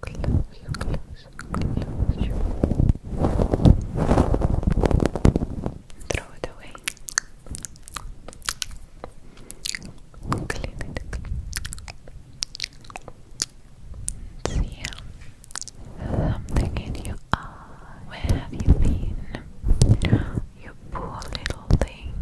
Close, Throw it away. Clean it. See ya. Something in your eye. Where have you been? You poor little thing.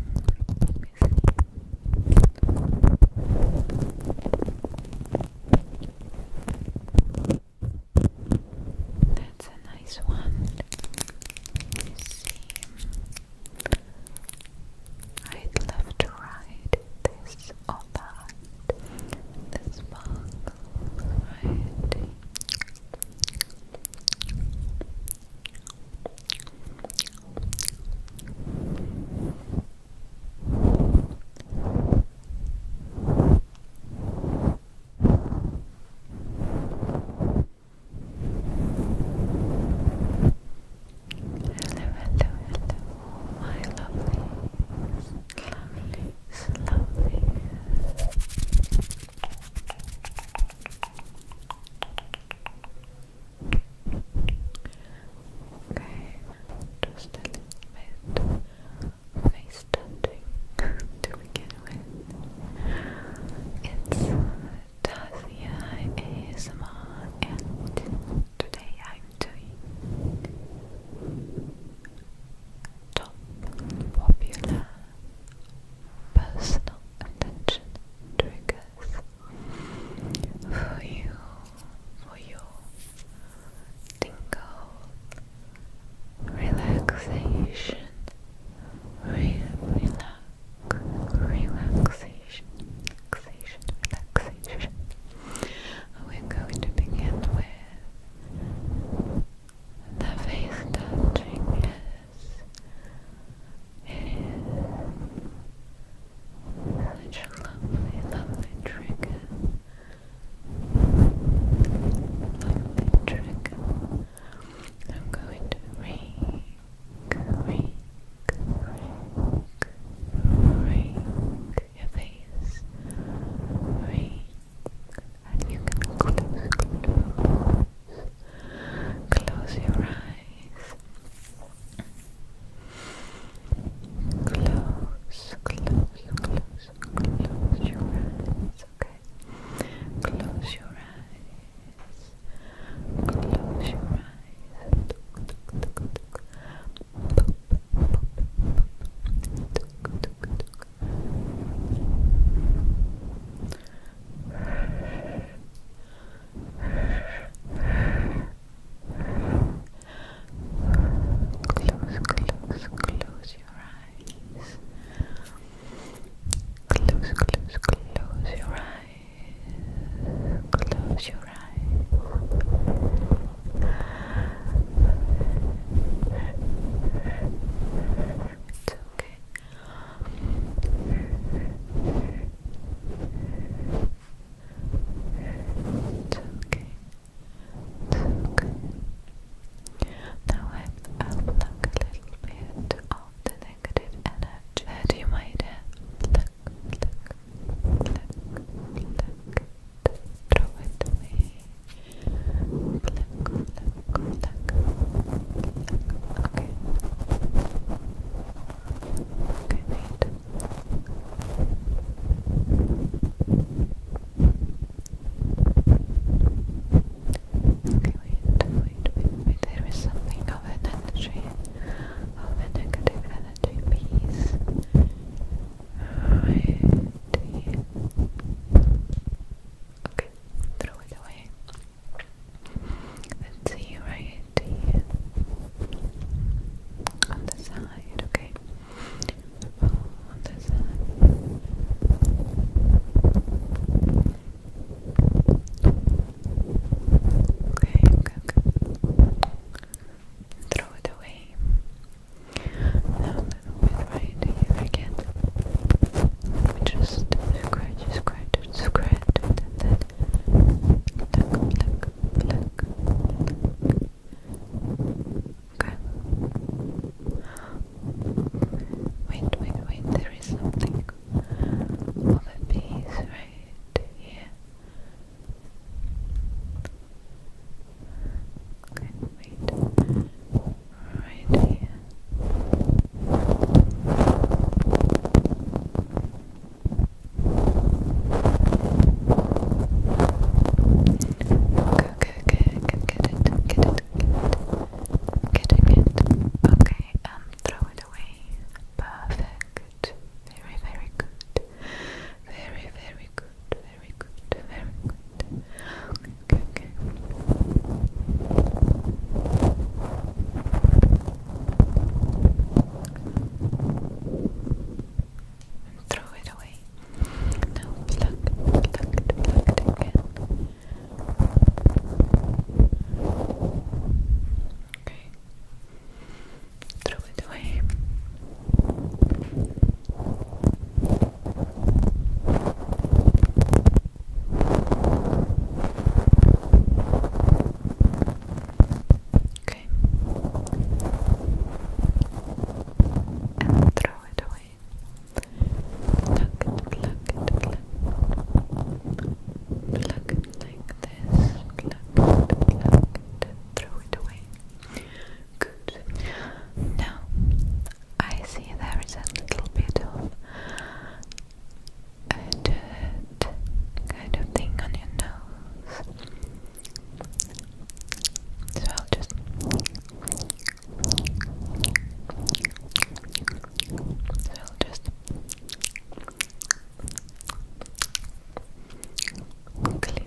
That's a nice one. Let see. I'd love to ride this or This bug hello, my lovely, lovely, lovely. Okay, just a little bit face touching to begin with. It's Tasia ASMR, and today I'm doing top popular personal attention triggers for you, for your tingle, relaxation, relax, relaxation, relaxation, We're going to begin with the face touching. Such a lovely, lovely trigger. Lovely trigger. I'm going to rake, rake, rake, rake your face. Rake. And you can close your eyes. Close, close, close, close your eyes, okay? Close your eyes. Close your eyes. Close your eyes. Close, close, close your eyes. Close, close, close your eyes. Close your eyes. It's okay. It's okay. okay. Now I pluck a little bit of the negative energy you might have. Pluck, pluck, pluck, pluck. Throw it away. Pluck, pluck, pluck, pluck. Okay. Okay, Okay, wait, wait, wait, There is something of an energy, of a negative energy piece. Right. Okay, throw it away. Let's see, right? on the side, okay? on the side. Okay, okay, Throw it away. Now a little bit right again. Just scratch, scratch, scratch. That, that, that, pluck, Okay. Wait, wait, wait, there is something of a piece right here. Okay, wait. Right here good, good, get it, get it, get it, getting it. Okay, um, throw it away. Perfect. Very, very good. Very, very good. Very good. Very good. okay, okay and throw it away. Now pluck, pluck, pluck it again. Okay. Throw it away. Okay. And throw it away. Pluck it, pluck it, like this. Pluck it, pluck throw it away. Good. Now, I see there is a little bit of uh, kind of thing on your nose. So I'll just so I'll just Okay.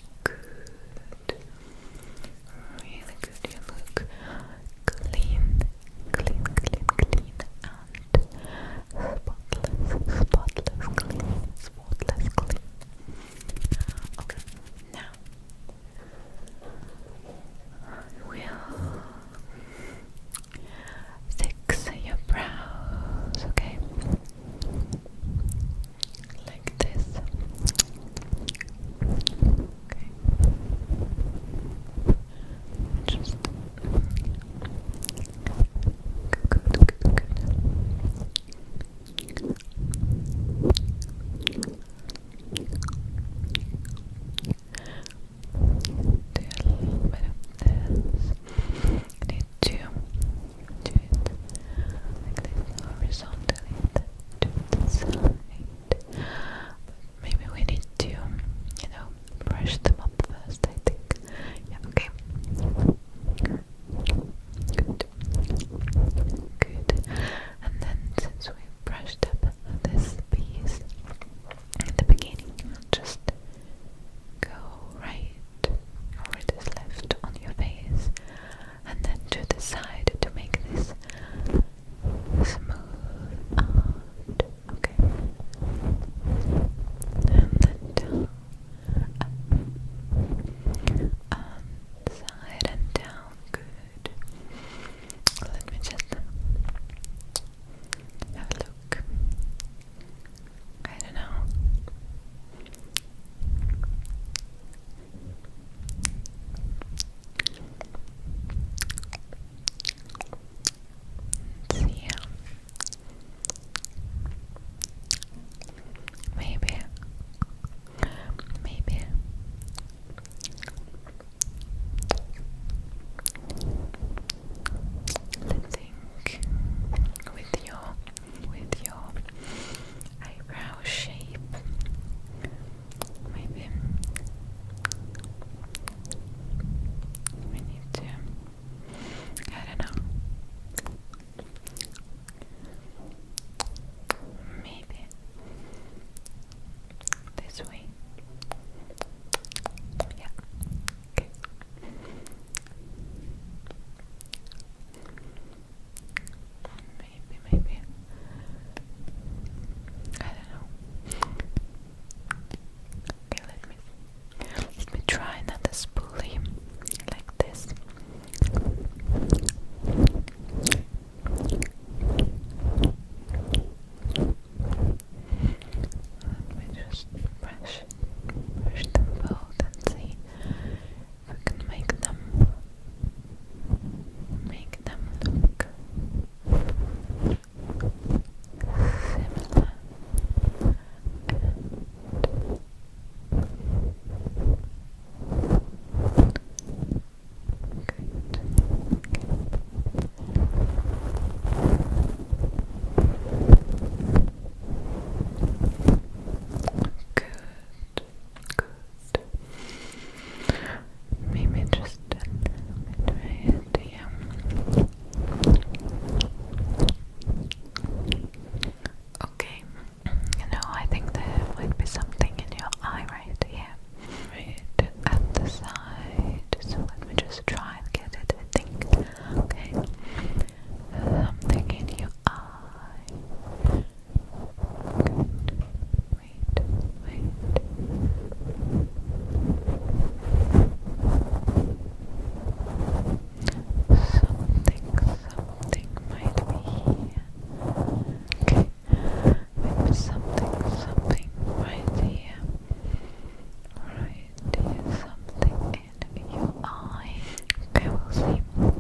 Good. Really good. You look clean, clean, clean, clean, and spotless, spotless, clean, spotless, clean. Okay, now we'll fix your brows, okay? like this. Okay. Just good, good, good, good. a little bit of this. need to to it like this horizontally to the but maybe we need to, you know, brush them up first I think yeah, okay good good and then since we brushed up this piece at the beginning, just go right or it is left on your face and then to the side to make this smooth okay and then down side and down good let me just have a look I don't know. Let's Maybe. Maybe. I think with your with your eyebrow shape. Maybe we need to. I don't know. Maybe this way. Yeah. Maybe, maybe. I don't know. Okay, let me let me try another spoolie like this. Let me just brush, brush them both and see we can make them make them look similar Okay. Good, good. let me try it here. Okay. You know, I think there might be something in your eye right here. Right at the side. So let me just try and get it, I think. Okay. Something in your I. eye. Wait, wait. Something, something might be here. Okay. something, something right here. Right here, something in your eye. Okay, will see. We'll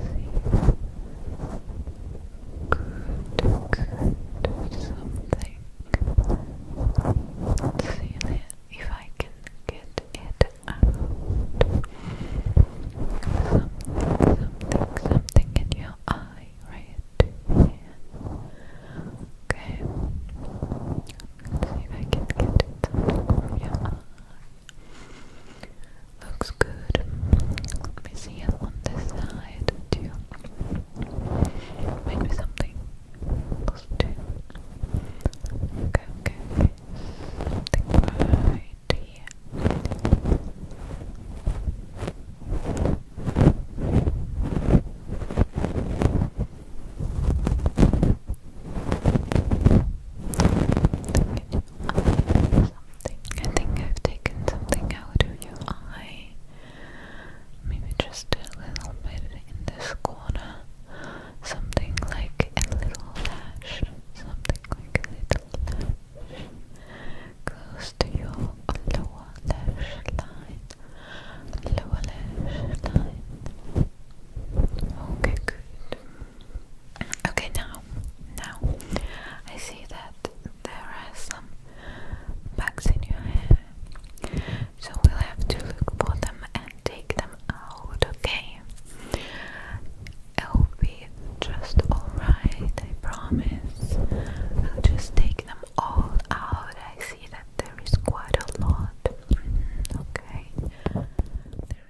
see. Good, good. Something. see then if I can get it out. Something, something, something in your eye, right? Okay. Let's see if I can get it. Yeah. Looks good. Let me see it on this side too. Maybe something else too. Okay, okay, okay. Something right I think I've taken something out of your eye. Maybe just a little bit in this corner. Something like a little lash. Something like a little lash. Close to your lower lash line. الأول line. Okay, good. Okay, now, now, I see that there are some bugs in your hair, so we'll have to look for them and take them out. Okay, it'll be just alright. I promise. I'll just take them all out. I see that there is quite a lot. Okay, there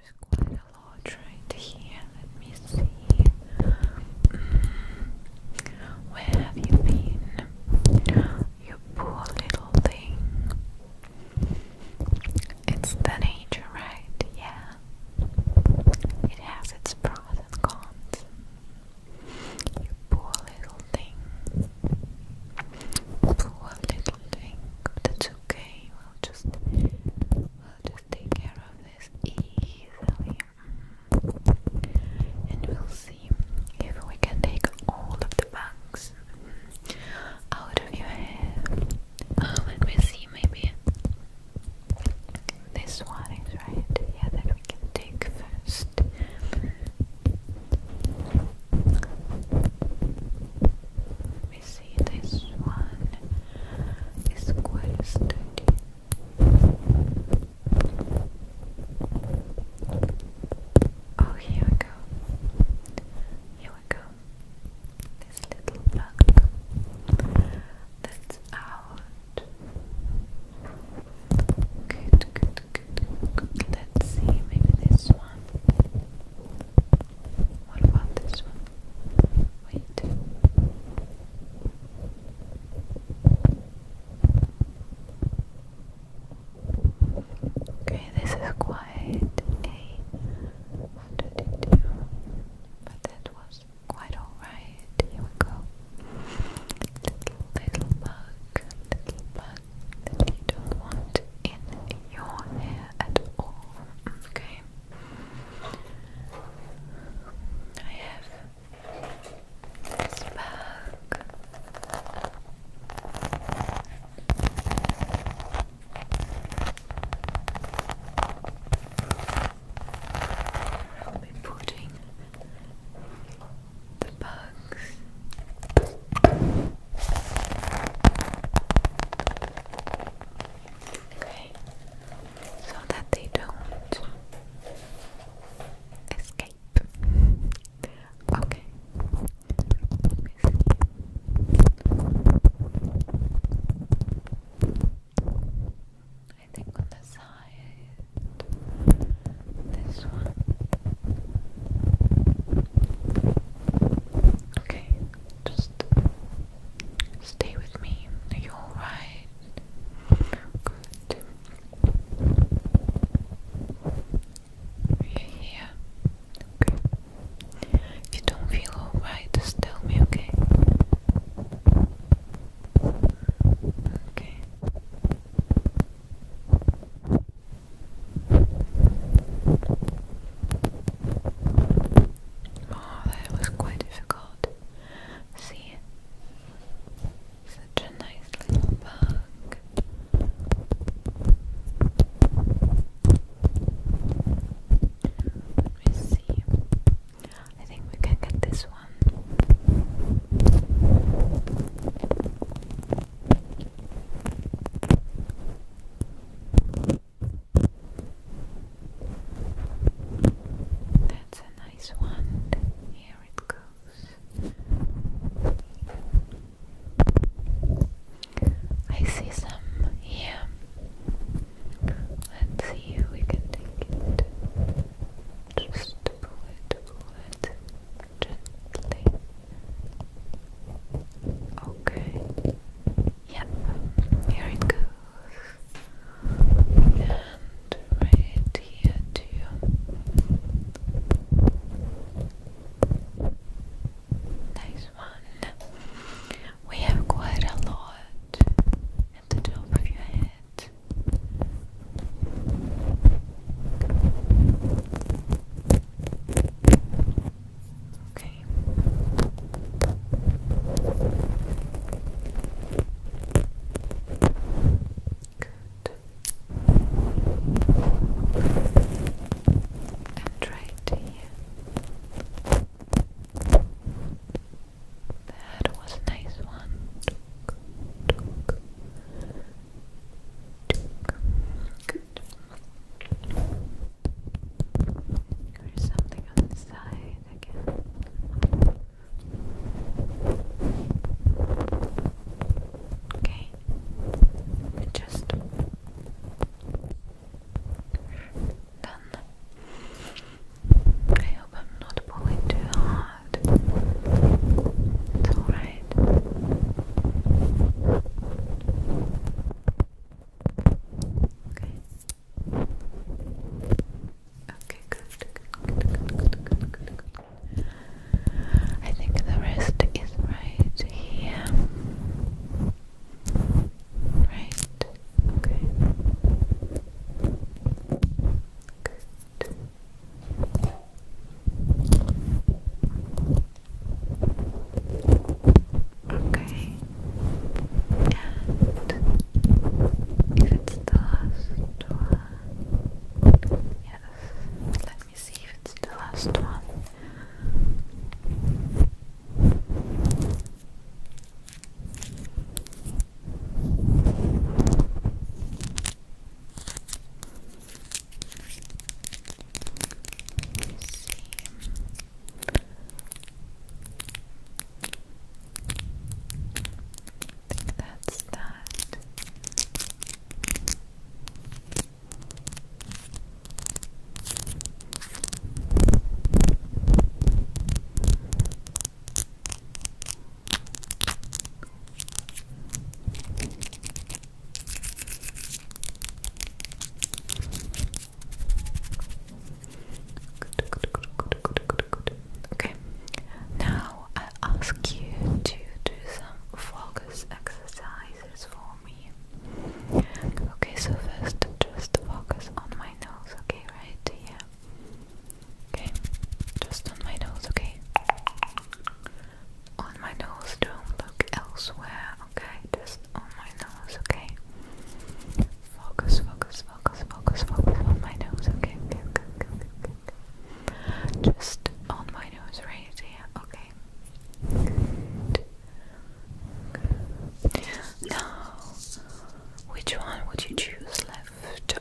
is quite a lot right here. Let me see. Mm. Where have you been? You poor little thing. It's the nature, right? Yeah. It has its pros and cons. You poor little thing. One little thing, that's okay. We'll just, we'll just take care of this easily, mm. and we'll see if we can take all of the bugs out of your hair. Oh, let me see, maybe this one is right. Yeah, that we can take first. We see, this one is quite sturdy. Oh, here we go. Here we go. This little plug that's out. Good, good, Let's see, maybe this one. What about this one? Wait. Okay, this is quite a 32, but that was quite alright. Here we go. little bug, little bug, that you don't want in your hair at all. Okay. I have this bag. I'll be putting the bugs. Okay, so that they don't escape. Okay. I think on the side this one. Okay, just stay with me. Are you alright? Good. you Okay. If you don't feel alright, just tell me, okay? Okay. Oh, that was quite difficult. See? Such a nice little bug. Let me see. I think we can get this one. That's a nice one. Here it goes. I see some here. Let's see if we can take it. Just pull it, pull it gently. Okay. Yep. Here it goes. And right here too. Nice one. We have quite a lot at the top of your head. Okay. Good. And right here. That was a nice one. Good. There's something on the side again. Okay. Just done. I hope I'm not pulling too hard. It's alright. Okay. Okay, good. I think the rest is right here. Right. Okay. Good. Okay. And uh, if it's the last one, yes. Let me see if it's the last one. Let me see. I think that's that. Okay, now I ask you to do some focus exercises for me. Okay, so first just focus on my nose, okay, right? Yeah. Okay, just on my nose, okay? on my nose, don't look elsewhere, okay? Just on my nose, okay? Focus, focus, focus, focus, focus on my nose, okay? Just on my nose right here, okay? Now, which one would you choose, left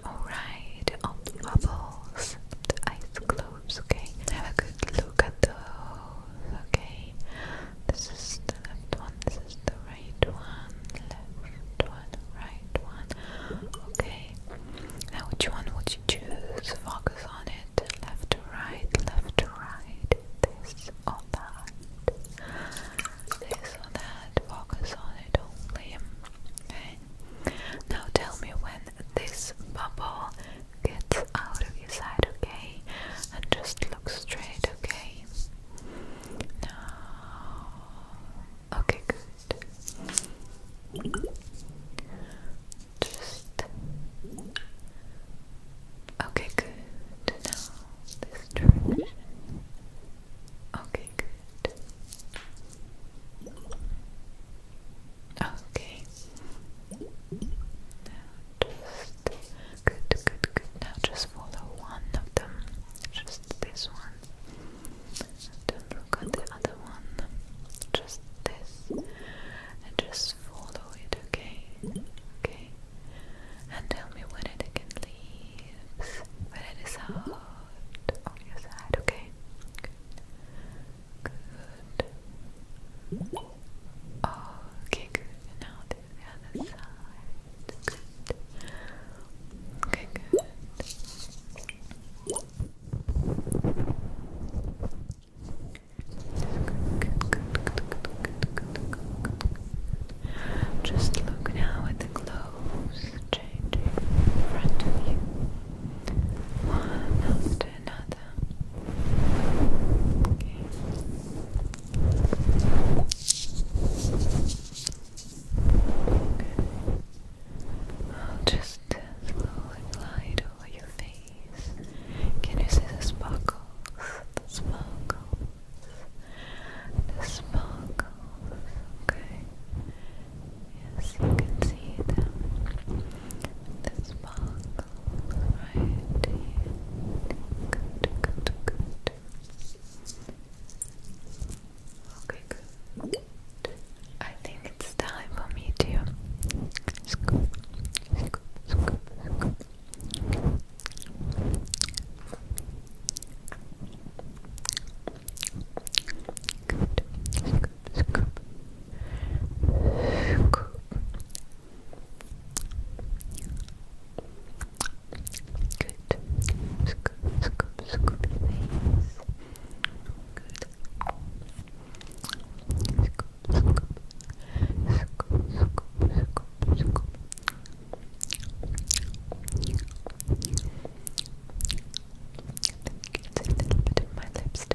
or right? Of the bubbles, the ice globe those, okay? Have a good look at those, okay? This is the left one, this is the right one, left one, right one, okay? Now, which one would you choose? Focus on it, left to right, left to right, this or that, this or that, focus on it only, okay? Now, tell me when this bubble gets out of your sight, okay? And just look straight, okay? Now, okay, good. Just okay, good. Now this direction. Okay, good. Okay. Now just good, good, good. Now just follow one of them, just this one. Don't look at the other one, just this, and just follow it, okay? Okay. And tell me when it again leaves, when it is out on your side, okay? Good. Good. Okay, good. now the other side. Good. Okay, good. Just look now at the clothes changing in front of you. One to another. Okay. Okay. Uh, over your face. Can you see the sparkles? The sparkles. The sparkles. Okay. Yes, you can see them. The sparkle right here. Good, good, good. Okay, good. I think it's time for me to scoop, scoop, scoop, scoop scoop, scoop, scoop, scoop. Good. Scoop, scoop, scoop your face. Good. Scoop, scoop, scoop, scoop, scoop, scoop. I think you can see a little bit of my lips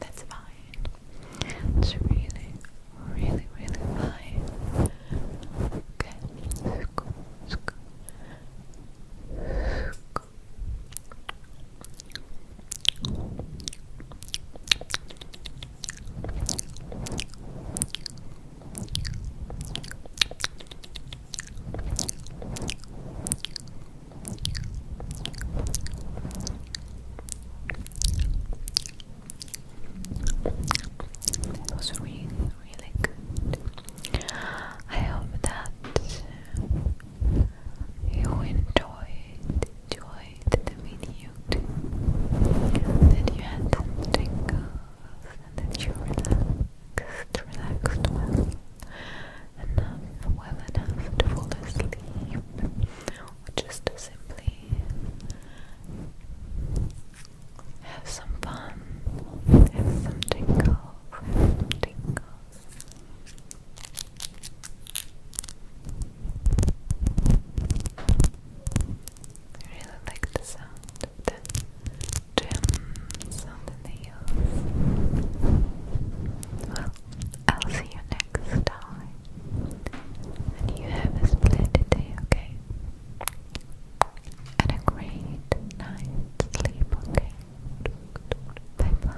That's fine. It's really, really, really fine. Okay. Scoop, scoop. Scoop. Scoop. That was really, really good. I hope that you enjoyed, enjoy enjoyed the video That you had tingles and that you relaxed, relaxed well. Enough, well enough to fall asleep. Or just to simply have some fun. Have some tingles. tingles. I really like the sound of the gems on the nails. Well, I'll see you next time. And you have a splendid day, okay? And a great night's sleep, okay? Bye bye.